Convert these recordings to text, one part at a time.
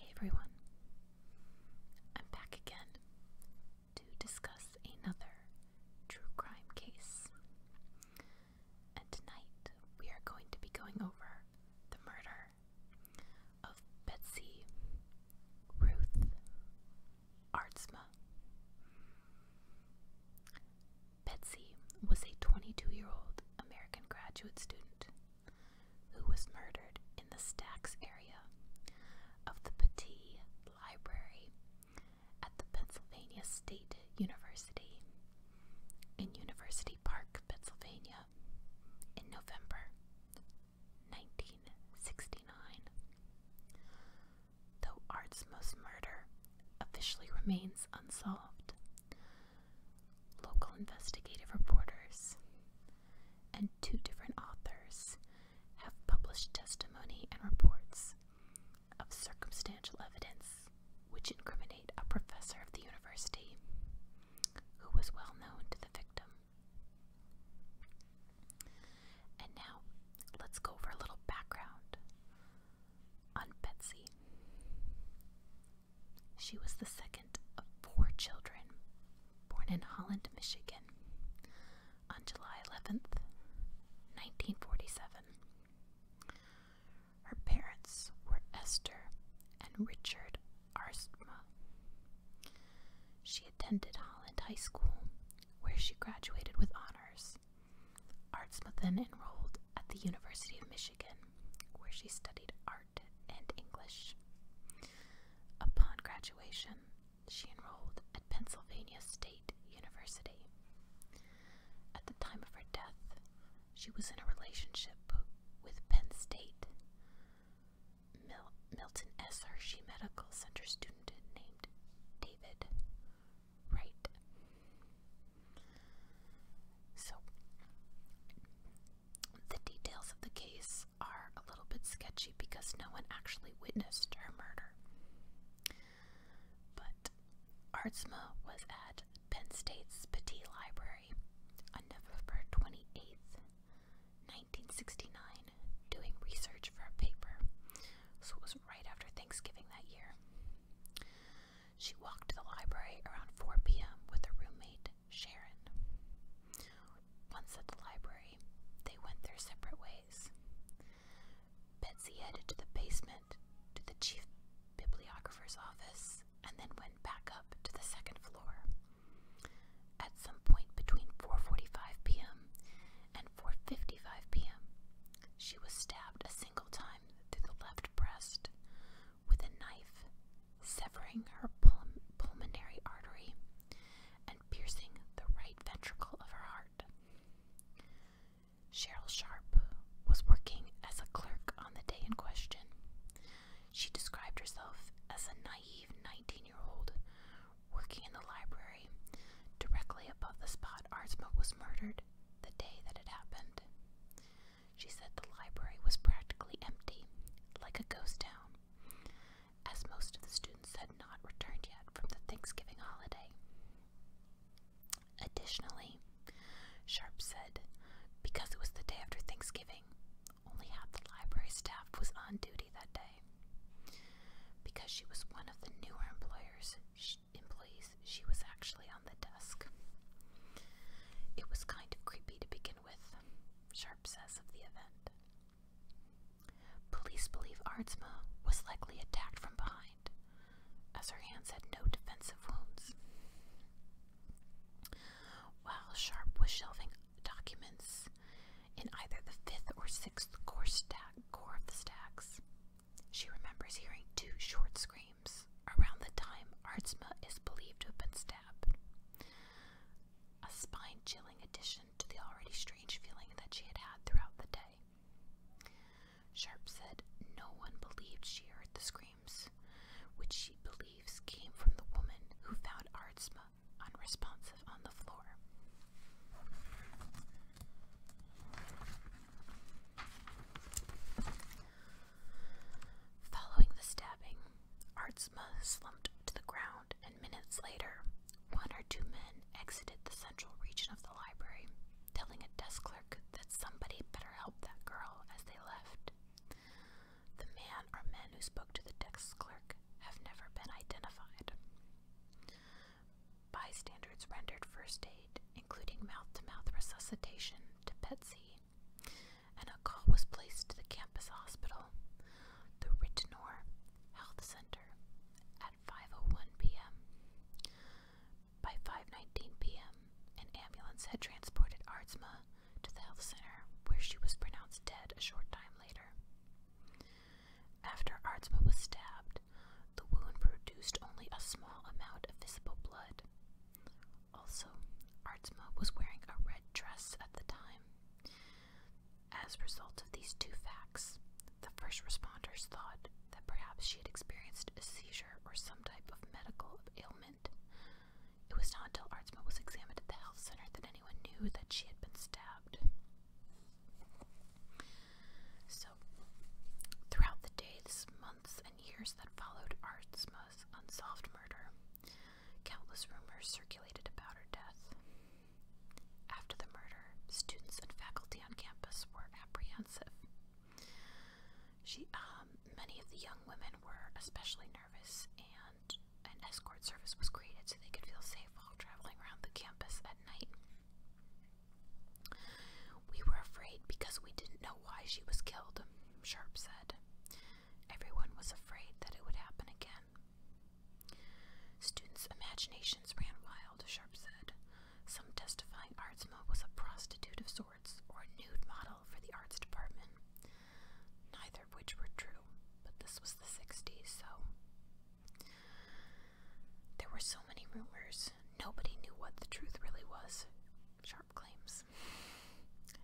Hey everyone, I'm back again to discuss another true crime case. And tonight we are going to be going over the murder of Betsy Ruth Artsma. Betsy was a 22 year old American graduate student who was murdered in the Stacks area of the Petit Library at the Pennsylvania State University in University Park, Pennsylvania, in November 1969. Though most murder officially remains unsolved, local investigative reporters and two different authors have published testimony and reports of circumstantial evidence which incriminate a professor of the university who was well known to the victim. And now let's go over a little background on Betsy. She was the second of four children born in Holland, Michigan, on July 11th, 1947. Her parents were Esther and Richard Arsma. She attended Holland High School, where she graduated with honors. Artsma then enrolled at the University of Michigan, where she studied art and English. Upon graduation, she enrolled at Pennsylvania State University. At the time of her death, she was in a relationship with Penn State. Milton S. Hershey Medical Center student named David Wright. So, the details of the case are a little bit sketchy because no one actually witnessed her murder. But Artsma was at Penn State's Petit Library on November 28th, 1969, doing research for a paper, so it was right after Thanksgiving that year. She walked to the library around 4 p.m. with her roommate, Sharon. Once at the library, they went their separate ways. Betsy headed to the basement, to the chief bibliographer's office, and then went back up to the second floor. At some point between 4:45 p.m. and 4:55 p.m., she was stabbed a single time through the left breast with a knife, severing her pulmonary artery piercing the right ventricle of her heart. Cheryl Sharp was working as a clerk on the day in question. She described herself as a naive 19 year old working in the library directly above the spot Artsma was murdered the day that it happened. She said the library was practically empty, like a ghost town, as most of the students had not returned yet from the Thanksgiving holiday. Additionally, Sharp said, because it was the day after Thanksgiving, only half the library staff was on duty that day. Because she was one of the newer employers, employees, she was actually on the desk. It was kind of creepy to begin with, Sharp says of the event. Police believe Arzma was likely attacked from behind, as her hands had no defensive wounds. While Sharp was shelving documents in either the fifth or sixth core, stack, core of the stacks, she remembers hearing two short screams around the time Arzma is believed to have been stabbed. A spine chilling addition to the already strange feeling that she had had throughout the day. Sharp said no one believed she heard the screams, which she believes came from the woman who found Artsma unresponsive on the floor. Following the stabbing, Artsma slumped to the ground and minutes later, one or two men exited the central region of the library, telling a desk clerk that somebody better help that girl as they left. The man or men who spoke to the desk clerk have never been identified. Bystanders rendered first aid, including mouth to mouth resuscitation, to Betsy, and a call was placed to the campus hospital, the Rittenour Health Center, at 5:01 p.m. By 5:19 p.m., an ambulance had transported Artsma to the health center, where she was pronounced dead a short time later. After Artsma was stabbed, the wound produced only a small amount of visible blood. Also, Artsma was wearing a red dress at the time, as a result of these two facts, the first responders thought that perhaps she had experienced a seizure or some type of medical ailment. It was not until Artsma was examined at the health center that anyone knew that she had been stabbed. So, throughout the days, months, and years that followed, Artsma unsolved murder. Countless rumors circulated about her death. After the murder, students and faculty on campus were apprehensive. She, um, many of the young women were especially nervous, and an escort service was created so they could feel safe while traveling around the campus at night. We were afraid because we didn't know why she was killed, Sharp said. Everyone was afraid that it would happen again. Students' imaginations ran wild, Sharp said, some testifying Artsma was a prostitute of sorts or a nude model for the arts department, neither of which were true, but this was the 60s, so. There were so many rumors, nobody knew what the truth really was, Sharp claims.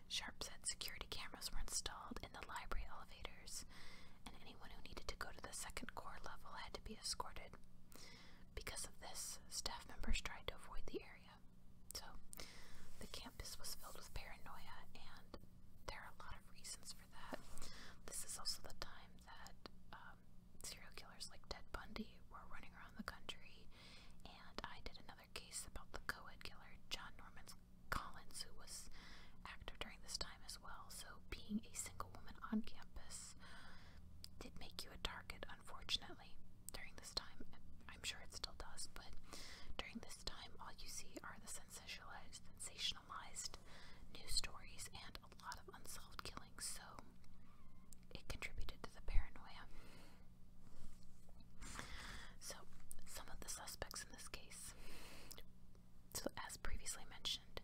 Sharp said security cameras were installed in the library elevators, and anyone who needed to go to the second core level had to be escorted. Because of this, staff members tried to avoid the area. So, the campus was filled with paranoia, and there are a lot of reasons for that. This is also the time that um, serial killers like Ted Bundy were running around the country, and I did another case about the co ed killer, John Norman. Collins, who was active during this time as well. So being a single woman on campus did make you a target, unfortunately, during this time. I'm sure it still does, but during this time, all you see are the sensationalized, sensationalized news stories and a lot of unsolved killings. So it contributed to the paranoia. So, some of the suspects in this case. So, as previously mentioned,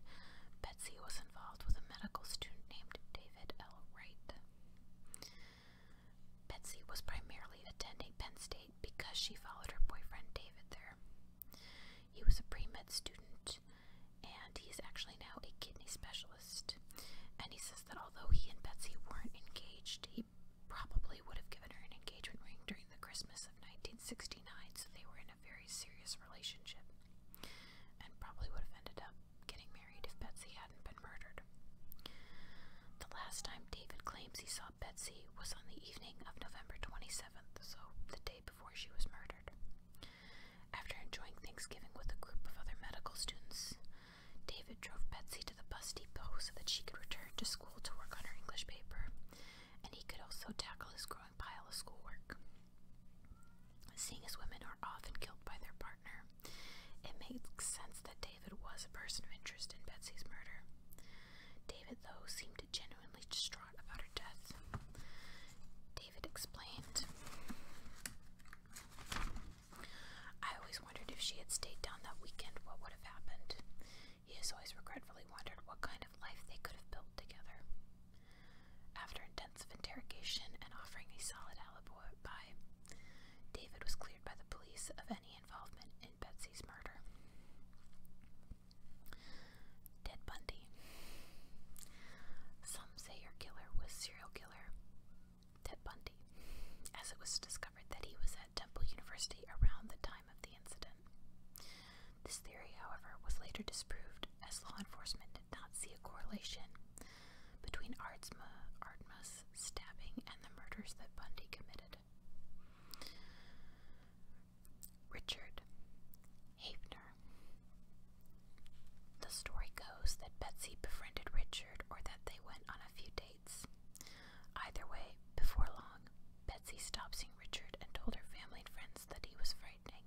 Betsy was involved with a medical student named David L. Wright. Betsy was primarily attending Penn State because she followed her boyfriend David there. He was a pre med student, and he's actually now a kidney specialist. And he says that although he and Betsy weren't engaged, he probably would have given her an engagement ring during the Christmas of 1969, so they were in a very serious relationship, and probably would have ended up getting married if Betsy hadn't been murdered. The last time David claims he saw Betsy was on the evening of November 27th, so the day before she was murdered. After enjoying Thanksgiving with a group of other medical students, David drove Betsy to the bus depot so that she could return to school to work on her English paper, and he could also tackle his growing pile of schoolwork. Seeing as women are often killed by their partner, it makes sense that David was a person of interest in Betsy's murder. David, though, seemed genuinely distraught about her death. David explained I always wondered if she had stayed down that weekend, what would have happened. He has always regretfully wondered what kind of life they could have built together. After intensive interrogation and offering a solid alibi, David was cleared by the police of any involvement in Betsy's murder. Dead Bundy. Some say your killer was serial killer Ted Bundy, as it was discovered that he was at Temple University around the time of the incident. This theory, however, was later disproved as law enforcement did not see a correlation between Ardsma, Ardma's stabbing and the murders that Bundy committed. Richard Hafner. The story goes that Betsy befriended Richard or that they went on a few dates waits. Either way, before long, Betsy stopped seeing Richard and told her family and friends that he was frightening.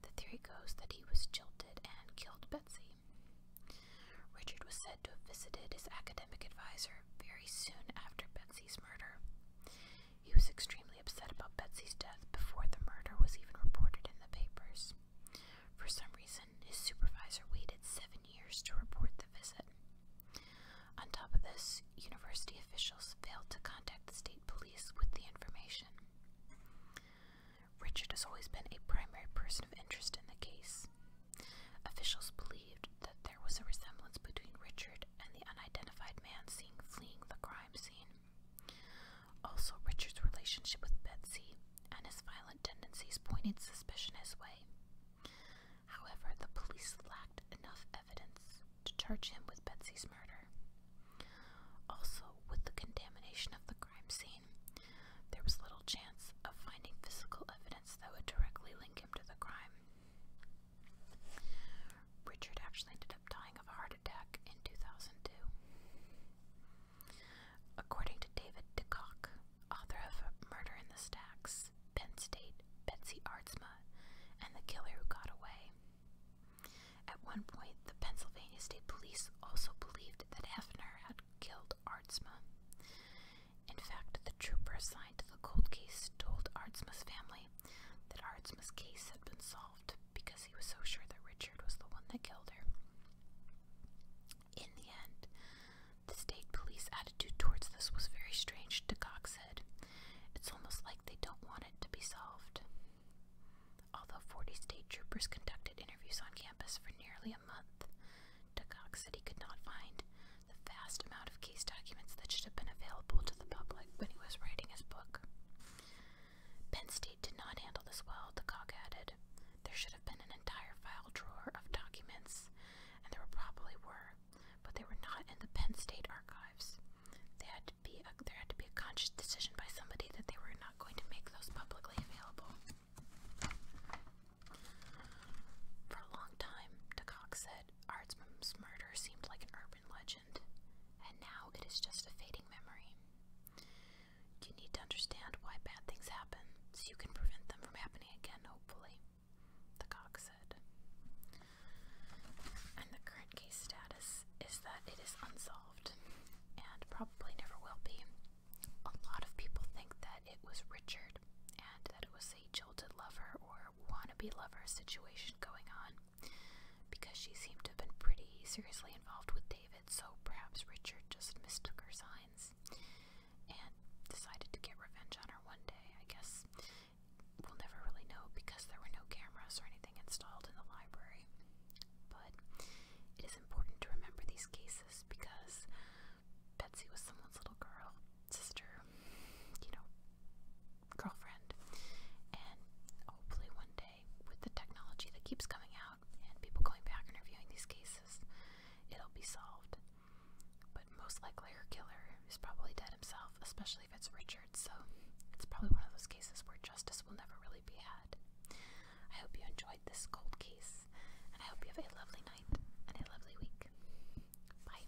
The theory goes that he was jilted and killed Betsy. Richard was said to have visited his academic advisor very soon after Betsy's murder. He was extremely upset about Betsy's death before the murder was even reported in the papers. For some reason, his supervisor waited seven years to report the visit. On top of this, university officials failed to contact the state police with the information. Richard has always been a primary person of interest in the case. Officials believed that there was a resemblance between Richard and the unidentified man seen fleeing the crime scene. Also, Richard's relationship with Betsy and his violent tendencies pointed suspicion his way. However, the police lacked enough evidence to charge him with Betsy's murder. Also, with the contamination of the crime scene, there was little chance of finding physical evidence that would directly link him to the crime. Richard actually ended up dying of a heart attack in 2002. According to David DeCock, author of Murder in the Stacks, Penn State, Betsy Ardsma, and The Killer Who Got Away. At one point, the Pennsylvania State Police also believed that Hefner had killed Artsma. In fact, the trooper assigned to the cold case told Artsma's family that Artsma's case had been solved because he was so sure that Richard was the one that killed her. In the end, the state police attitude towards this was very strange, DeCock said. It's almost like they don't want it to be solved. Although 40 state troopers conducted interviews on campus for nearly a month, DeCock said he could not find the vast amount of case documents that should have been available to the public when he was writing his book. Penn State did not handle this well, the cock added. There should have been an entire file drawer of documents, and there probably were, but they were not in the Penn State archives. there had to be a conscious decision by somebody that they were not going to make those publicly available. For a long time, Decock said, Artsman's murder seemed like an urban legend, and now it is just a fading memory. You need to understand why bad things happen so you can prevent them from happening again, hopefully, the cock said. And the current case status is that it is unsolved and probably never will be. A lot of people think that it was Richard and that it was a jilted lover or wannabe lover situation going on because she seemed to have been pretty seriously involved with David it, so perhaps Richard just mistook her signs and decided to get revenge on her one day. I guess we'll never really know because there were no cameras or anything installed in the library. But it is important to remember these cases because Betsy was someone's little girl, sister, you know, girlfriend. And hopefully, one day, with the technology that keeps coming and people going back and reviewing these cases, it'll be solved. But most likely, her killer is probably dead himself, especially if it's Richard, so it's probably one of those cases where justice will never really be had. I hope you enjoyed this cold case, and I hope you have a lovely night and a lovely week. Bye.